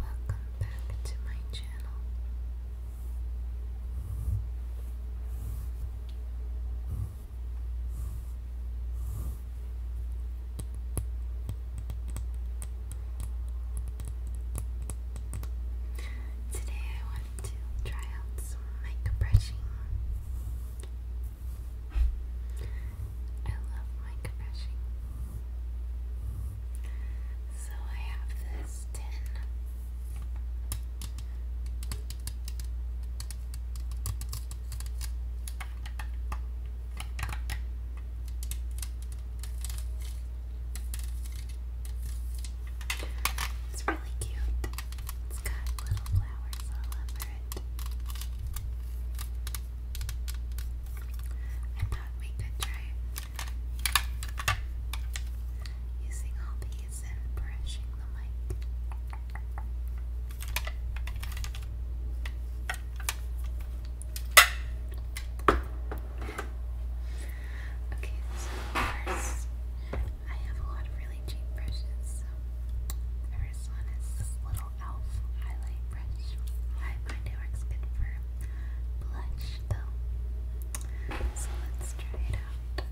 Welcome back to my channel. Today I want to try out some mic brushing. I love mic brushing. So I have this tin. It's really cute. It's got little flowers all over it. I thought we could try using all these and brushing the mic. Okay, so first, I have a lot of really cheap brushes. So first one is this little Elf Highlight Brush. I find it works good for blush though. So let's try it out.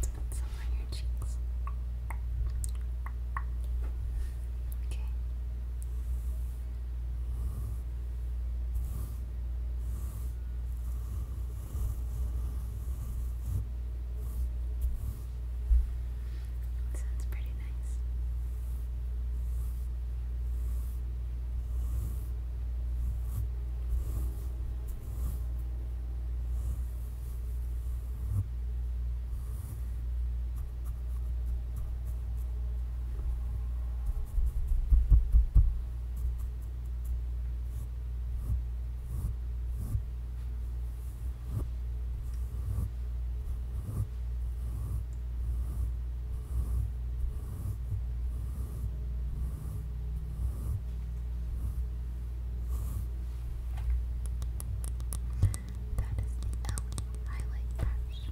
put some on your cheeks. Okay. It sounds pretty nice. That is the Ellie highlight brush.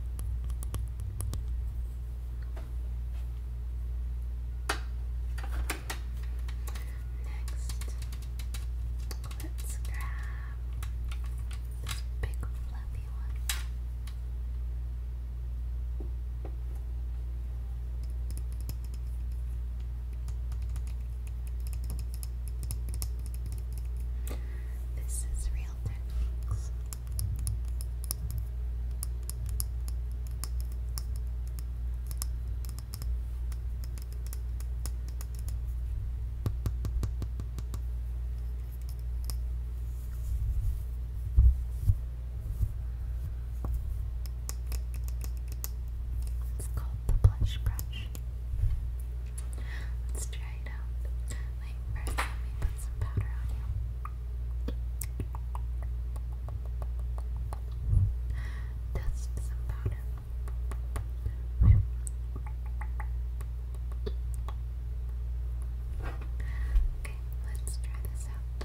Next, let's grab this big fluffy one. This is real techniques. It's called the blush brush. Let's try it out. let me put some powder on you. Dust some powder. Okay. let's try this out.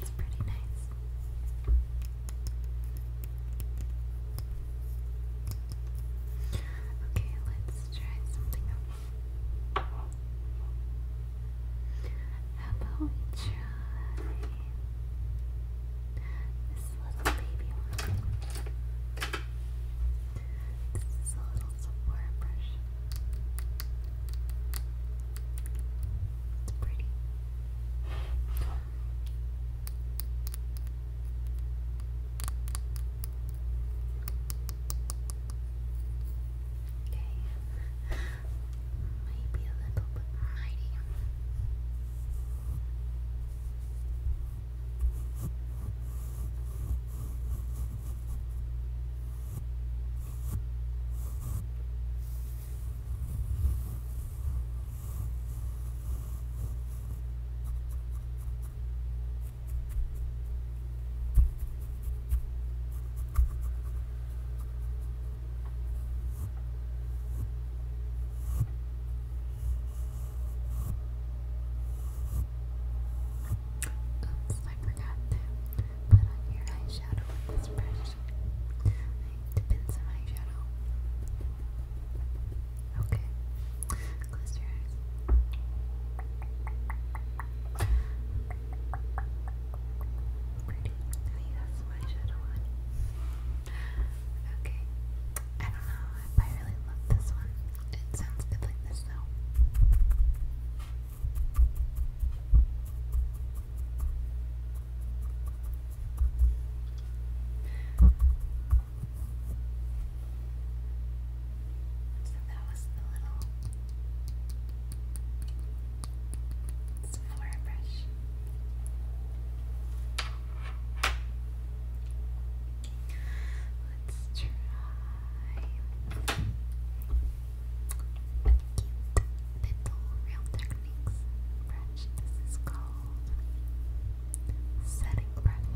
It's pretty nice. Okay, let's try something else. How about we try this little baby one? This is a little Sephora brush. It's pretty. Okay. Maybe a little bit mighty. Oops, I forgot to put on your eyeshadow with this brush. to pin eyeshadow. Okay, close your eyes. Pretty. I think that's my shadow Okay. I don't know I really love this one. It sounds good like this though. So that was the little floor brush. Let's try a cute little Real Techniques brush. This is called Setting Brush.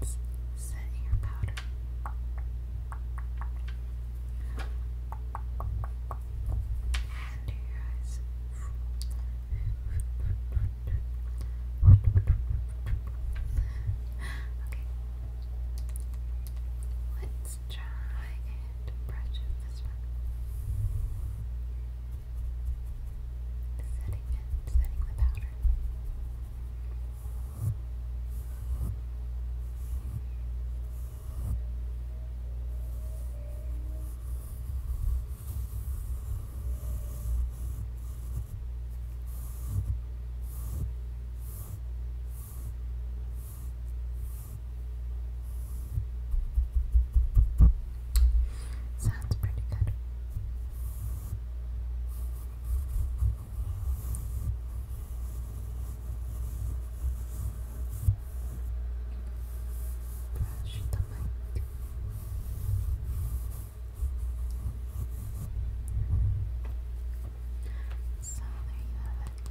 Let's set your powder. Under your eyes. okay. Let's try and brush this setting it, setting the powder. Sounds pretty good. Brush the mic. So there you have it.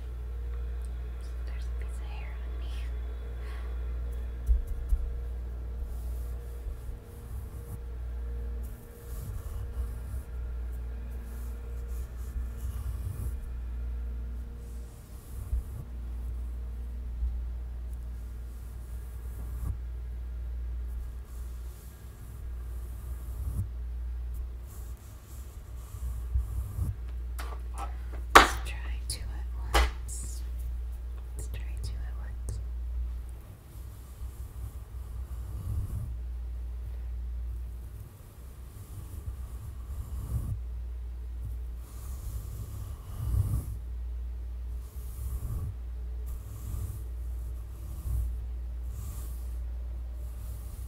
There's a piece of hair on me. Let's try two at once. Let's try two at once.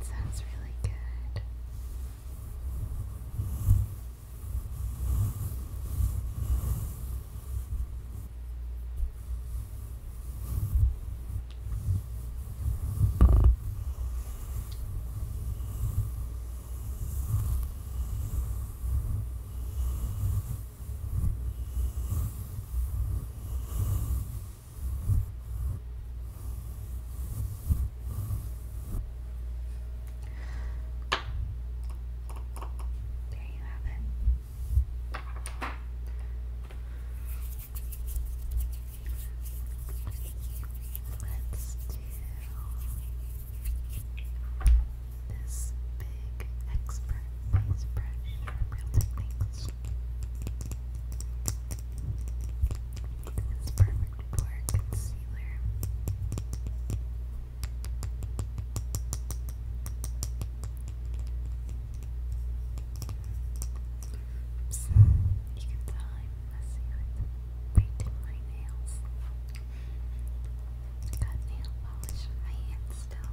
It sounds really Good. There you have it. Let's do this big expert brush real techniques. This is perfect concealer. Oops, you I'm messing painting my nails. Got nail polish on my hand still.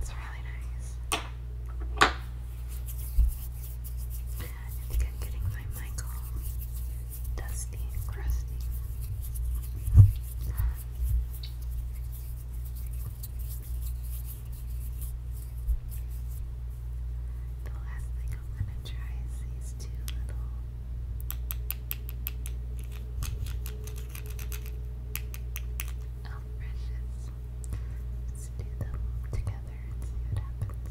That's really nice. I think getting my mic dusty and crusty. The last thing I'm gonna try is these two little elf brushes. Let's do them together together and see what happens. Good.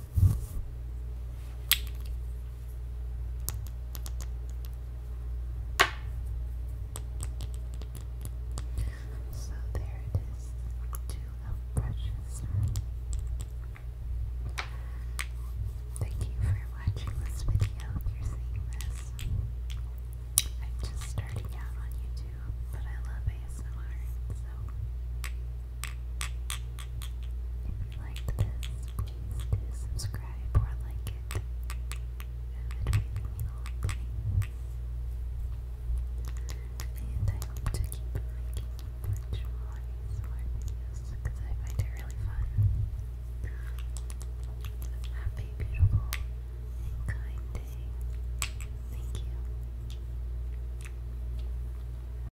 So there it is, two of brushes. Thank you for watching this video if you're seeing this. I'm just starting out on YouTube, but I love ASMR, so if you liked this, please do subscribe or like it. It would mean a lot to me. And I hope to keep making much more videos because I find it really fun. Have beautiful and kind day. Thank you.